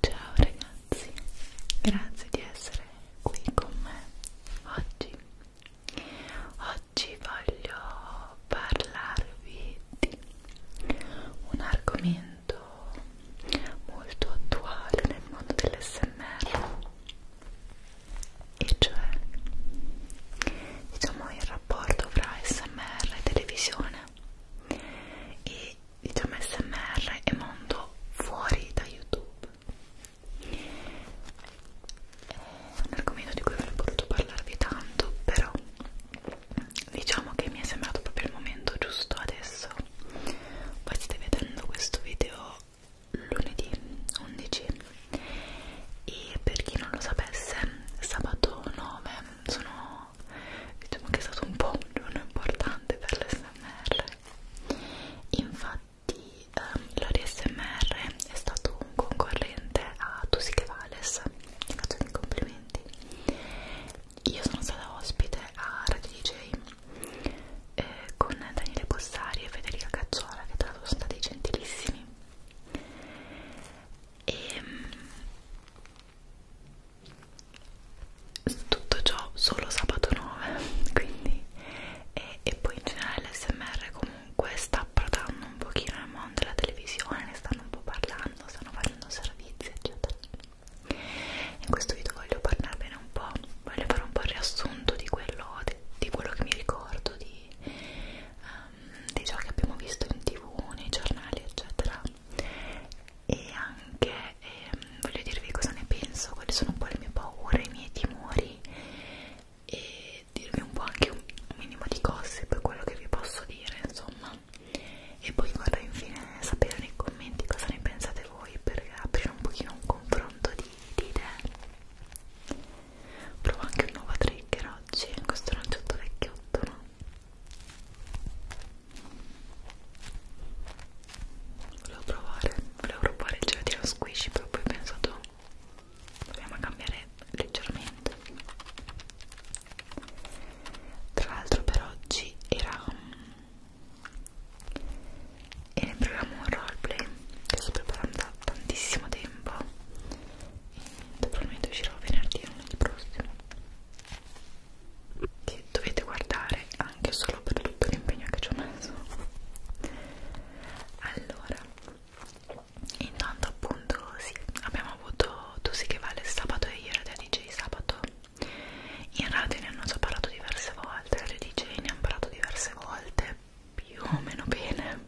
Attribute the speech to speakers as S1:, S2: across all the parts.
S1: Ciao ragazzi, grazie di essere qui con me oggi. Oggi voglio parlarvi di un argomento molto attuale nel mondo dell'SMR e cioè diciamo il rapporto fra smr e televisione e diciamo smr e mondo fuori da youtube è un argomento di cui avrei voluto parlarvi tanto però diciamo che mi è sembrato proprio il momento giusto adesso voi state vedendo questo video lunedì 11 e per chi non lo sapesse sabato 9 sono diciamo che è stato un po' un giorno importante per l'SMR infatti ehm, l'ASMR è stato un concorrente a Tusi che Vales ti faccio i complimenti io sono stata ospite a Radio DJ eh, con Daniele Bossari e Federica Cazzuola che tra l'altro sono stati gentilissimi e ehm, tutto ciò solo sabato 9 quindi e, e poi in generale l'SMR comunque sta approdando un pochino nel mondo della televisione ne stanno un po' parlando, stanno facendo servizi eccetera in questo video voglio parlarvi parlarvene un po', voglio fare un po' il riassunto di quello, di, di quello che mi ricordo, di, um, di ciò che abbiamo visto in tv, nei giornali, eccetera. E anche eh, voglio dirvi cosa ne penso, quali sono un po' le mie paure, i miei timori e dirvi un po' anche un, un minimo di gossip, quello che vi posso dire, insomma. E poi vorrei infine sapere nei commenti cosa ne pensate voi per aprire un pochino un confronto nitide provo anche un nuovo trigger oggi questo aranciotto vecchiotto no? volevo provare volevo provare il gelatino squishy però poi ho pensato proviamo a cambiare leggermente tra l'altro per oggi era mm, e ne proviamo un roleplay che sto preparando da tantissimo tempo e probabilmente uscirò venerdì o lunedì prossimo che dovete guardare anche solo per tutto l'impegno che ci ho messo allora intanto appunto sì, abbiamo avuto tu sì che vale sabato e ieri da DJ sabato in radio ne hanno già parlato diverse volte altre aree di igiene ho imparato diverse volte più o meno bene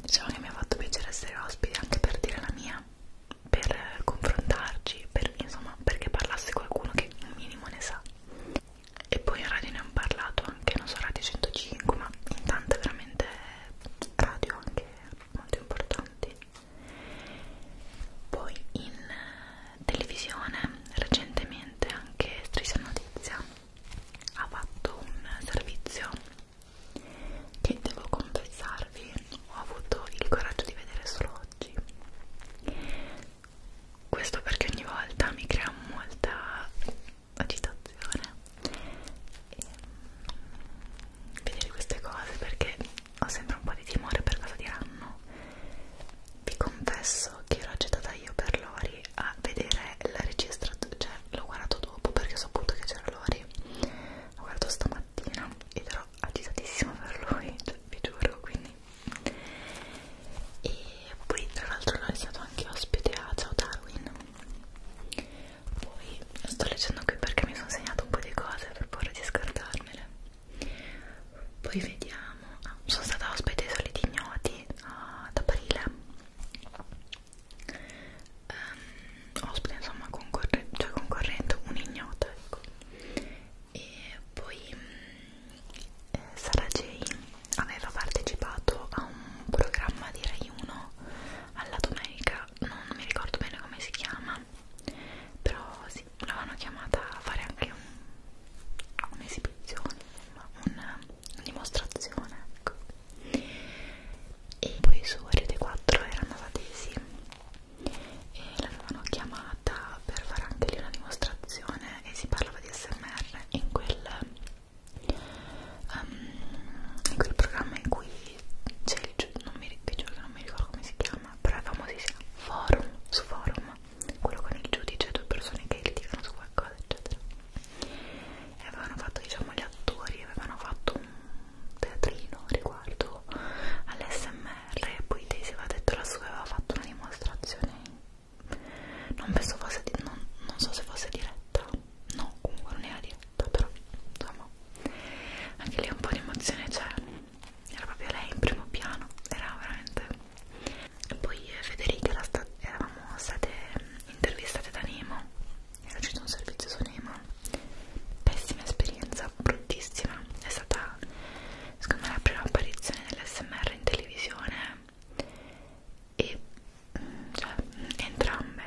S1: diciamo che mi ha fatto piacere essere ospite anche per dire la mia per confrontarci per, insomma perché parlasse qualcuno che un minimo ne sa e poi in radio ne ho parlato anche non so radio 105 ma in tante veramente radio anche molto importanti poi in televisione recentemente anche Striscia Notizia ha fatto un servizio che devo confessarvi ho avuto il coraggio di vedere solo oggi questo perché ogni volta mi crea molta agitazione e ehm, vedere queste cose perché ho sempre un po' di timore per cosa diranno vi confesso che ero agitata io per Lori a vedere la registrazione, cioè l'ho guardato dopo perché ho saputo che c'era Lori, l'ho guardato stamattina ed ero agitatissima per lui, cioè, vi giuro, quindi e poi tra l'altro Lori è stato anche ospite a Ciao Darwin poi sto leggendo qui perché mi sono segnato un po' di cose per paura di scordarmele poi vediamo ah, sono stata ospite ai soliti ignoti uh, ad aprile um, ospite insomma concorre cioè concorrente un'ignota ecco e poi mh, mm, eh, Sara J aveva partecipato a un programma di Rai 1 alla domenica non mi ricordo bene come si chiama però si sì, l'avevano chiamata a fare anche un'esibizione, un una dimostrazione, ecco. E poi su Rete 4 era Navadesi e l'avevano chiamata per fare anche lì una dimostrazione e si parlava di SMR in quel, um, in quel programma in cui c'è il non mi ricordo come si chiama, però è famosissimo, forum, su forum quello con il giudice, due persone che litigano su qualcosa, eccetera. E avevano fatto, diciamo, gli attori avevano fatto un teatrino riguardo all'SMR e poi Daisy aveva detto la sua aveva fatto una dimostrazione. Non penso fosse di, non, non so se fosse diretta. No, comunque non era diretta, però insomma. Anche lì un po' di emozione c'è. Cioè, era proprio lei in primo piano, era veramente poi io e Federica era sta eravamo state mm, intervistate da Nemo era uscito un servizio su Nemo pessima esperienza, bruttissima è stata secondo me la prima apparizione dell'SMR in televisione e mm, cioè mm, entrambe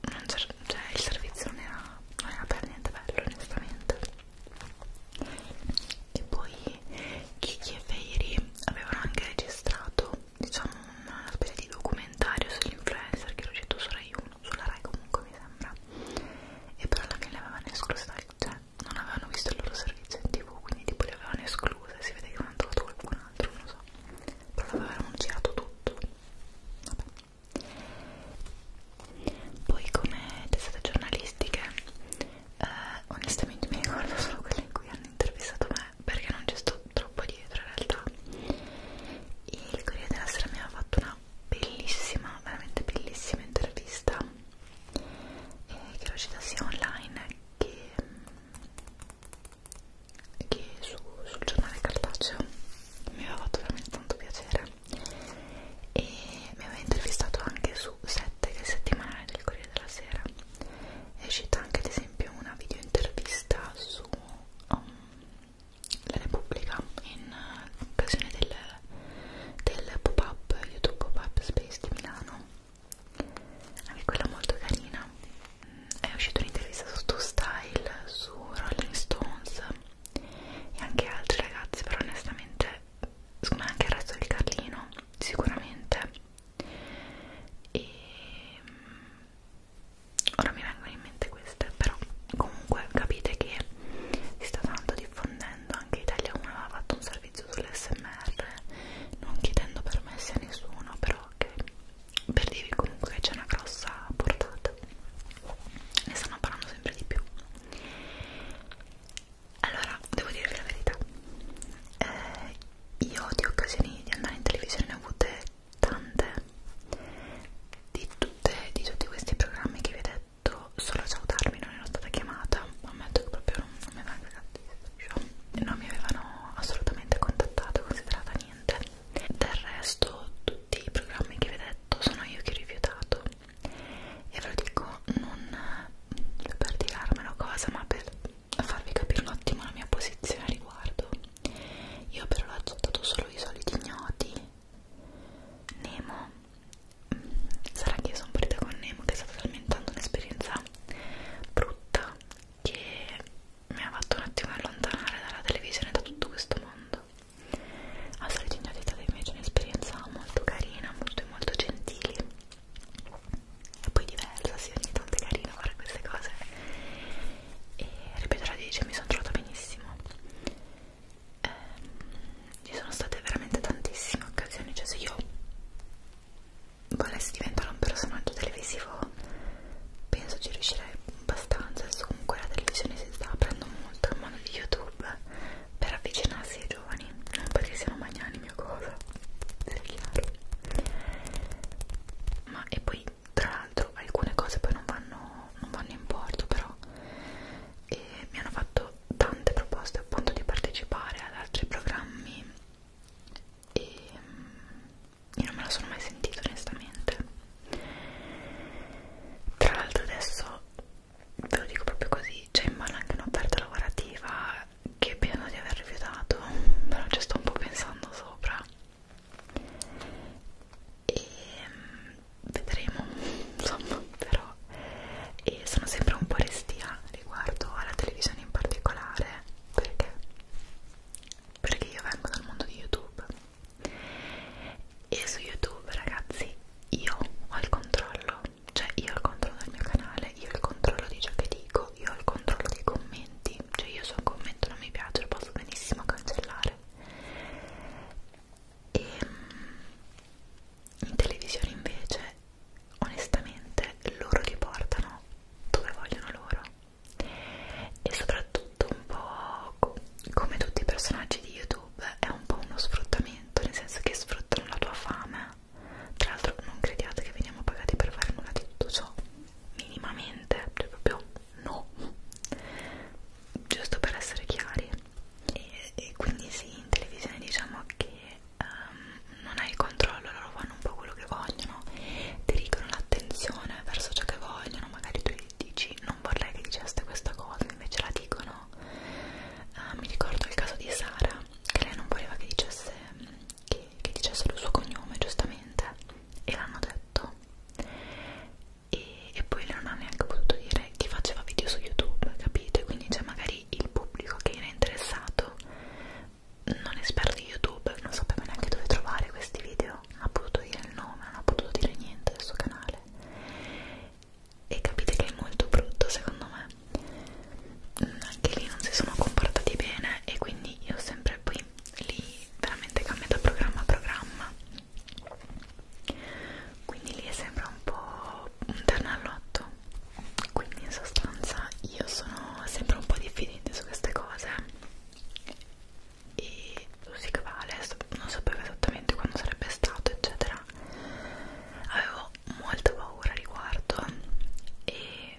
S1: non cioè il servizio non era, non era per niente bello onestamente e poi Kiki e Feiri avevano anche registrato diciamo una specie di documentario sull'influencer che era uscito su Rai 1 sulla Rai comunque mi sembra e però alla fine le avevano escluse cioè non avevano visto il loro servizio in tv quindi tipo le avevano escluse si vede che non hanno trovato qualcun altro non lo so però l'avevano girato tutto vabbè poi come testate giornalistiche eh, onestamente mi ricordo solo quelle in cui hanno intervistato me perché non ci sto troppo dietro in realtà e il Corriere della Sera mi ha fatto una bellissima, veramente bellissima intervista eh, che è uscita sia online che, che su, sul giornale cartaceo mi aveva fatto veramente tanto piacere e mi aveva intervistato anche su 7 che è il settimanale del Corriere della Sera è uscita anche ad esempio una video intervista su um, la Repubblica in uh, occasione del, del pop-up YouTube pop-up Space di Milano anche quella molto carina è uscita un'intervista su Two Style su Rolling Stones e anche altri ragazzi però onestamente secondo me anche il resto di Carlino sicuramente e mm, ora mi vengono in mente queste però comunque capite che si sta tanto diffondendo anche Italia 1 aveva fatto un servizio sull'SMR non chiedendo permessi a nessuno però che per dirvi comunque c'è una grossa portata ne stanno parlando sempre di più allora, devo dirvi la verità. Eh, io di occasioni di andare in televisione ne ho avute tante. Di, tutte, di tutti questi programmi che vi ho detto, solo a salutarmi non ero stata chiamata. Ammetto che proprio non, non mi avevano cagato. Non mi avevano assolutamente contattato, considerata niente. Del resto, tutti i programmi che vi ho detto sono io che ho rifiutato e ve lo dico non per tirarmelo cosa ma per farvi capire un attimo la mia posizione a riguardo io per l'ho accettato solo i soliti ignoti Nemo mm, sarà che io sono partita con Nemo che è stata talmente un'esperienza brutta che mi ha fatto un attimo allontanare dalla televisione da tutto questo mondo a soliti ignoti è stata invece un'esperienza molto carina molto molto gentile e poi diversa, sì, ogni tanto è carino fare queste cose e ripeto la dice, mi sono trovata benissimo eh, ci sono state veramente tantissime occasioni, cioè se io volessi diventare un personaggio televisivo penso ci riuscirei abbastanza, adesso comunque la televisione si sta aprendo molto in modo di YouTube per avvicinarsi giovani non perché siano magnani mia cosa se è chiaro ma e poi tra l'altro alcune cose poi non vanno, non vanno in porto però e mi hanno fatto tante proposte appunto di partecipare ad altri programmi e mm, io non me la sono mai sentita onestamente tra l'altro adesso ve lo dico proprio così c'è in mano anche un'offerta lavorativa che penso di aver rifiutato però ci sto un po' pensando sopra e mm, vedremo insomma però e sono sempre un po' restia riguardo alla televisione in particolare perché perché io vengo dal mondo di youtube e su youtube ragazzi io ho il controllo cioè io ho il controllo del mio canale, io ho il controllo di ciò che dico, io ho il controllo dei commenti, cioè io se un commento non mi piace lo posso benissimo cancellare. E ehm, in televisione invece, onestamente, loro ti portano dove vogliono loro e soprattutto un po' come tutti i personaggi di YouTube è un po' uno sfruttamento, nel senso che sfruttano la tua fame tra l'altro non crediate che veniamo pagati per fare nulla di tutto ciò, minimamente, cioè proprio no, giusto per essere chiari. E, e quindi sì, in televisione diciamo che um, non hai il controllo, loro fanno un po' quello che vogliono, dirigono l'attenzione verso ciò che vogliono, magari tu dici non vorrei che diceste questa cosa, invece la dicono. Uh, mi ricordo il caso di Sara che lei non voleva che dicesse, che, che dicesse il suo cognome giustamente e l'hanno detto e, e poi lei non ha neanche potuto dire che faceva video su YouTube, capite? Quindi c'è cioè, magari il pubblico che era interessato, non esperto di YouTube, non sapeva neanche dove trovare questi video, non ha potuto dire il nome, non ha potuto dire niente del suo canale e capite che è molto brutto secondo me mm, anche lì non si sono comportati bene e quindi io sempre poi lì veramente cambio da programma a programma quindi lì è sempre un po' un terno all'otto quindi in sostanza io sono sempre un po' diffidente su queste cose e così che vale non sapevo esattamente quando sarebbe stato eccetera avevo ho molta paura riguardo e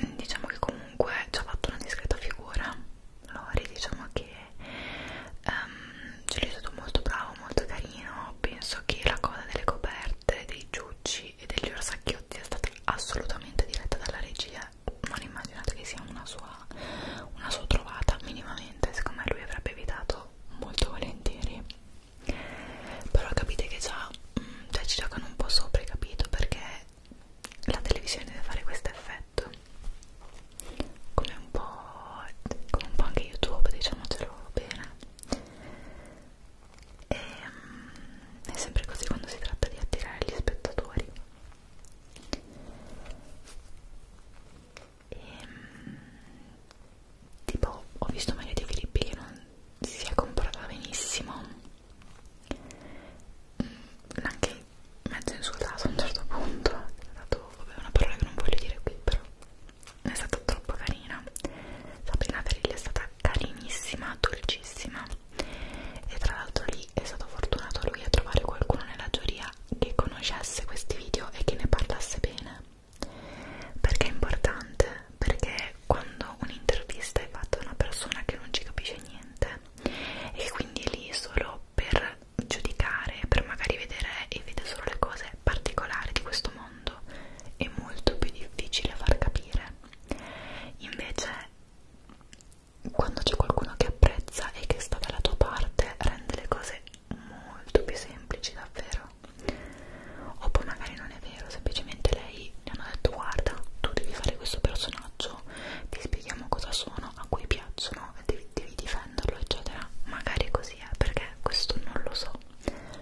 S1: mm, diciamo che comunque ci ha fatto una discreta figura Lori diciamo che um, ce l'hai stato molto bravo, molto carino penso che la cosa delle coperte, dei giucci e degli orsacchiotti è stata assolutamente diretta dalla regia non immaginate che sia una sua, una sua trovata minimamente secondo me lui avrebbe evitato molto volentieri però capite che già mm, cioè ci giocano un po' sopra capito perché la televisione deve fare questo effetto come un po' come un po' anche youtube diciamocelo bene e, ehm, è sempre così quando si tratta di attirare gli spettatori e ehm, tipo ho visto Maria De Filippi che non si è comportata benissimo mm, anche mezzo insultato a un certo punto è stato vabbè, una parola che non voglio dire qui però è stata troppo carina Sabrina Ferilli è stata carinissima, dolcissima e tra l'altro lì è stato fortunato lui a trovare qualcuno nella giuria che conoscesse questi video e che ne parlasse bene perché è importante? Perché quando un'intervista è fatta da una persona che non ci capisce niente e quindi è lì solo per giudicare, per magari vedere e vede solo le cose particolari di questo mondo, è molto più difficile far capire. Invece quando c'è qualcuno che apprezza e che sta dalla tua parte rende le cose molto più semplici davvero o poi magari non è vero, semplicemente lei mi hanno detto guarda tu devi fare questo personaggio, ti spieghiamo cosa sono, a cui piacciono, devi, devi difenderlo eccetera, magari così è eh, perché questo non lo so,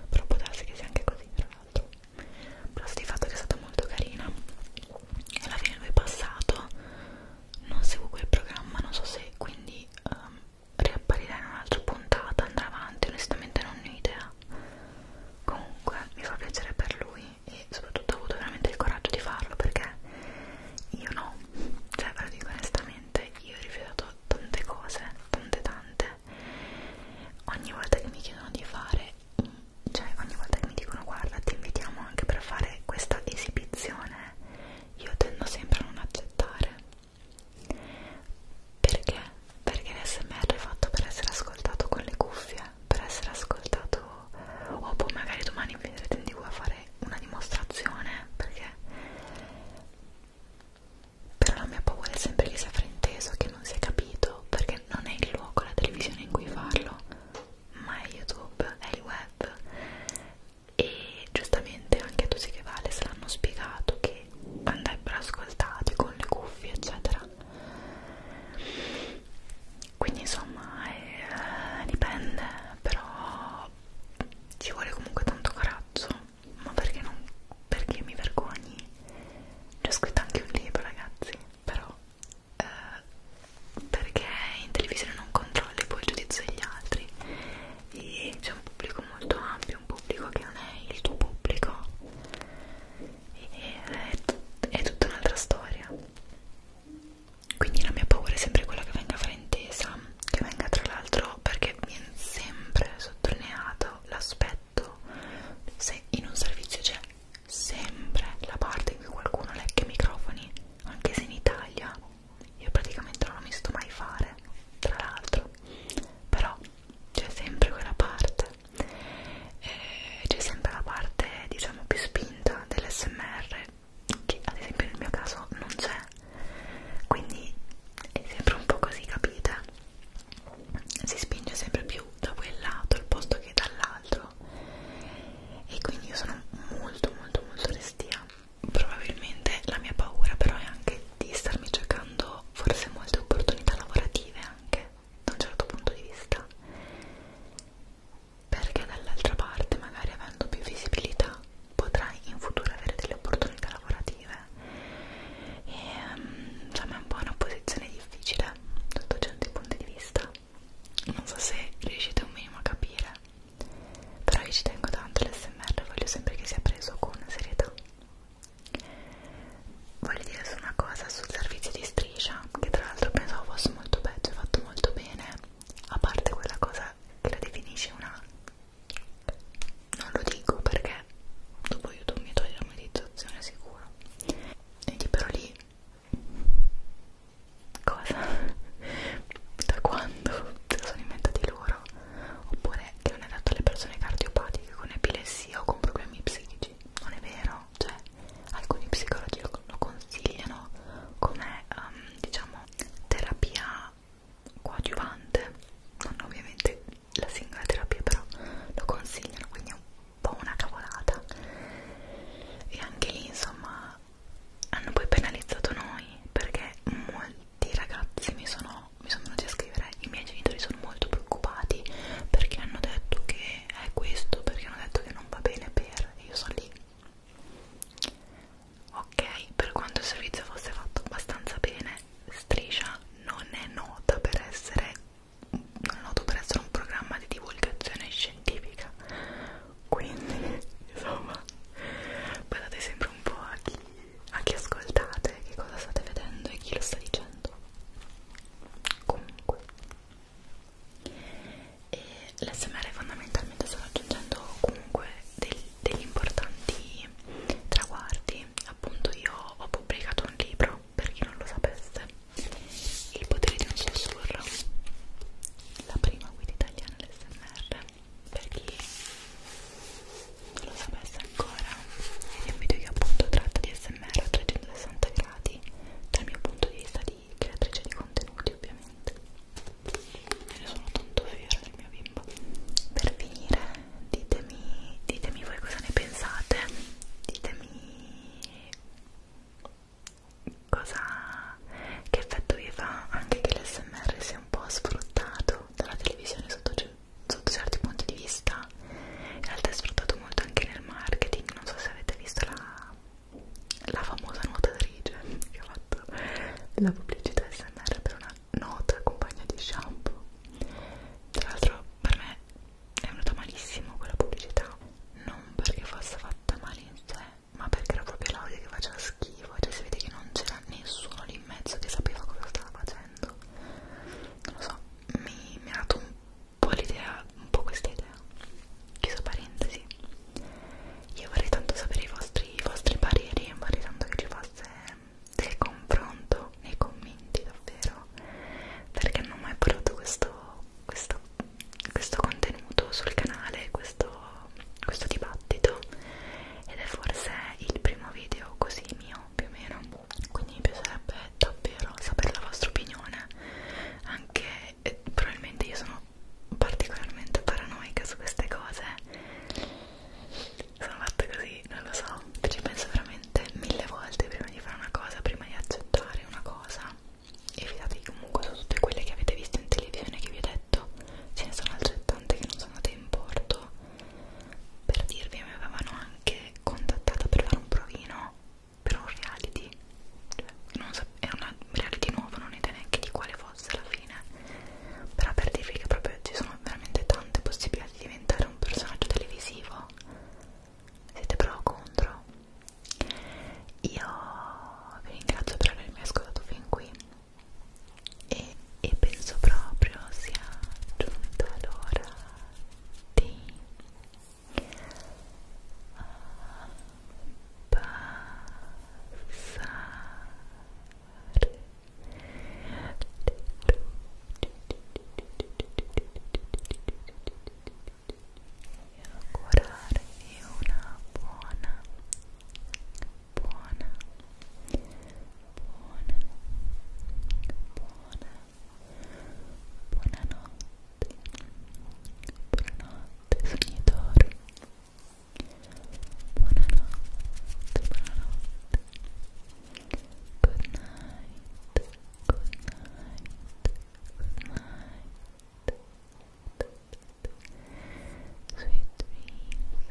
S1: però può darsi che sia anche così tra l'altro, però di fatto che è stata molto carina e alla fine lui è passato, non seguo quel programma, non so se quindi um, riapparirà in un'altra puntata, andrà avanti, onestamente non ne ho idea. Comunque mi fa piacere per lui e soprattutto ho avuto veramente il coraggio di farlo perché io no, cioè ve lo dico onestamente, io ho rifiutato tante cose, tante tante. Ogni volta che mi chiedono di fare, cioè ogni volta che mi dicono guarda ti invitiamo anche per fare questa esibizione, io tendo sempre a non accettare perché? Perché l'SMR è fatto per essere ascoltato con le cuffie, per essere ascoltato o poi boh, magari domani vedrete in tv a fare una dimostrazione, perché però la mia paura è sempre che sia frainteso, che non sia capito, perché non è il luogo, la televisione in cui farlo, ma è YouTube, è il web e giustamente anche a tutti che vale se l'hanno spiegato che andrebbero ascoltati con le cuffie eccetera quindi insomma eh, dipende però ci vuole comunque tanto coraggio ma perché non perché mi vergogni C'è scritto anche un libro ragazzi però eh, perché in televisione non controlli poi il giudizio degli altri e c'è un pubblico molto ampio di un pubblico che non è il tuo pubblico e, è, è tutta un'altra storia quindi la mia paura è sempre quella che venga fraintesa che venga tra l'altro perché viene sempre sottolineato l'aspetto se in un servizio c'è sempre la parte in cui qualcuno lecca i microfoni anche se in Italia io praticamente non lo mi sto mai fare tra l'altro però c'è sempre quella parte eh, c'è sempre la parte diciamo più spinta dell'SMR che ad esempio nel mio caso non c'è quindi è sempre un po' così capite si spinge sempre più da quel lato al posto che dall'altro e quindi io sono molto molto molto restia probabilmente la mia paura però è anche di starmi giocando forse molte opportunità lavorative anche da un certo punto di vista perché dall'altra parte magari avendo più visibilità potrai in futuro avere delle opportunità lavorative e mm, insomma è un po' una posizione difficile sotto certi punti di vista non so se riuscite un minimo a capire però io ci tengo tanto l'SMR voglio sempre che sia preso con serietà voglio dire su una cosa sul servizio di striscia che tra l'altro pensavo fosse molto peggio è fatto molto bene a parte quella cosa che la definisce una non lo dico perché dopo youtube mi toglie la meditazione sicuro quindi però lì cosa da quando se lo sono inventati loro ancora oppure che non è dato alle persone cardiopatiche con epilessia o con problemi psichici non è vero, cioè alcuni psicologi lo, lo consigliano come um, diciamo terapia coadiuvante non ovviamente la singola terapia però lo consigliano quindi è un po' una cavolata e anche lì insomma hanno poi penalizzato noi perché molti ragazzi mi sono no, mi sono venuti a scrivere i miei genitori sono molto preoccupati perché hanno detto che è questo, perché hanno detto che non va bene per, e io sono lì ok, per quanto il servizio fosse fatto abbastanza bene Striscia non è nota per essere non è noto per essere un programma di divulgazione scientifica quindi insomma guardate sempre un po' a chi anche ascoltate che cosa state vedendo e chi lo sta dicendo comunque e l'SMR fondamentalmente sta raggiungendo comunque del, degli importanti traguardi appunto io ho pubblicato un libro per chi non lo sapesse il potere di un sussurro la prima guida italiana dell'SMR per chi non lo sapesse ancora, è un video che appunto tratta di SMR a 360 gradi dal mio punto di vista di creatrice di contenuti ovviamente e ne sono tanto fiera del mio bimbo per finire ditemi, ditemi voi cosa ne pensate ditemi cosa che effetto vi fa anche che l'SMR sia un po' sfruttato dalla televisione sotto sotto certi punti di vista in realtà è sfruttato molto anche nel marketing non so se avete visto la, la famosa nuotatrice che ha fatto la pubblicità SMR per una nota compagna di shampoo tra l'altro per me è venuta malissimo quella pubblicità non perché fosse fatta male in sé ma perché era proprio l'audio che faceva schifo cioè si vede che non c'era nessuno lì in mezzo che sapeva cosa stava facendo facendo non lo so mi, mi ha dato un po' l'idea un po' questa idea chiuso parentesi io vorrei tanto sapere i vostri, i vostri pareri vorrei tanto che ci fosse del confronto nei commenti davvero perché non ho mai portato questo, questo, questo contenuto sul canale questo, questo dibattito ed è forse il primo video così mio più o meno quindi mi piacerebbe davvero sapere la vostra opinione anche eh, probabilmente io sono particolarmente paranoica su queste cose sono fatta così, non lo so ci penso veramente mille volte prima di fare una cosa prima di accettare una cosa e fidatevi comunque su tutte quelle che avete visto in televisione che vi ho detto ce ne sono altrettante che non sono andate in porto per dirvi mi avevano anche contattata per fare un provino per un reality cioè, non so, è un reality nuovo non idea neanche di quale fosse alla fine però per dirvi che proprio ci sono veramente tante possibilità di diventare un personaggio televisivo siete pro o contro? io vi ringrazio per avermi ascoltato fin qui e, e penso proprio sia giunta l'ora di abbassare ah, le e augurarvi una buona buona buona, buona, buonanotte, buonanotte sognatori, buonanotte, buonanotte, good night, good night, good night, sweet dreams.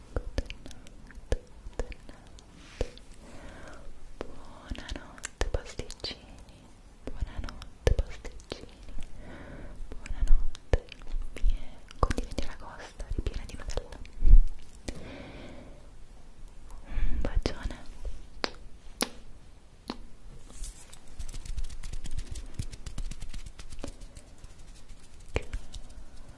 S1: buonanotte pasticcini, buonanotte pasticcini, buonanotte mie codine di aragosta ripiene di Nutella un bacione Ciao,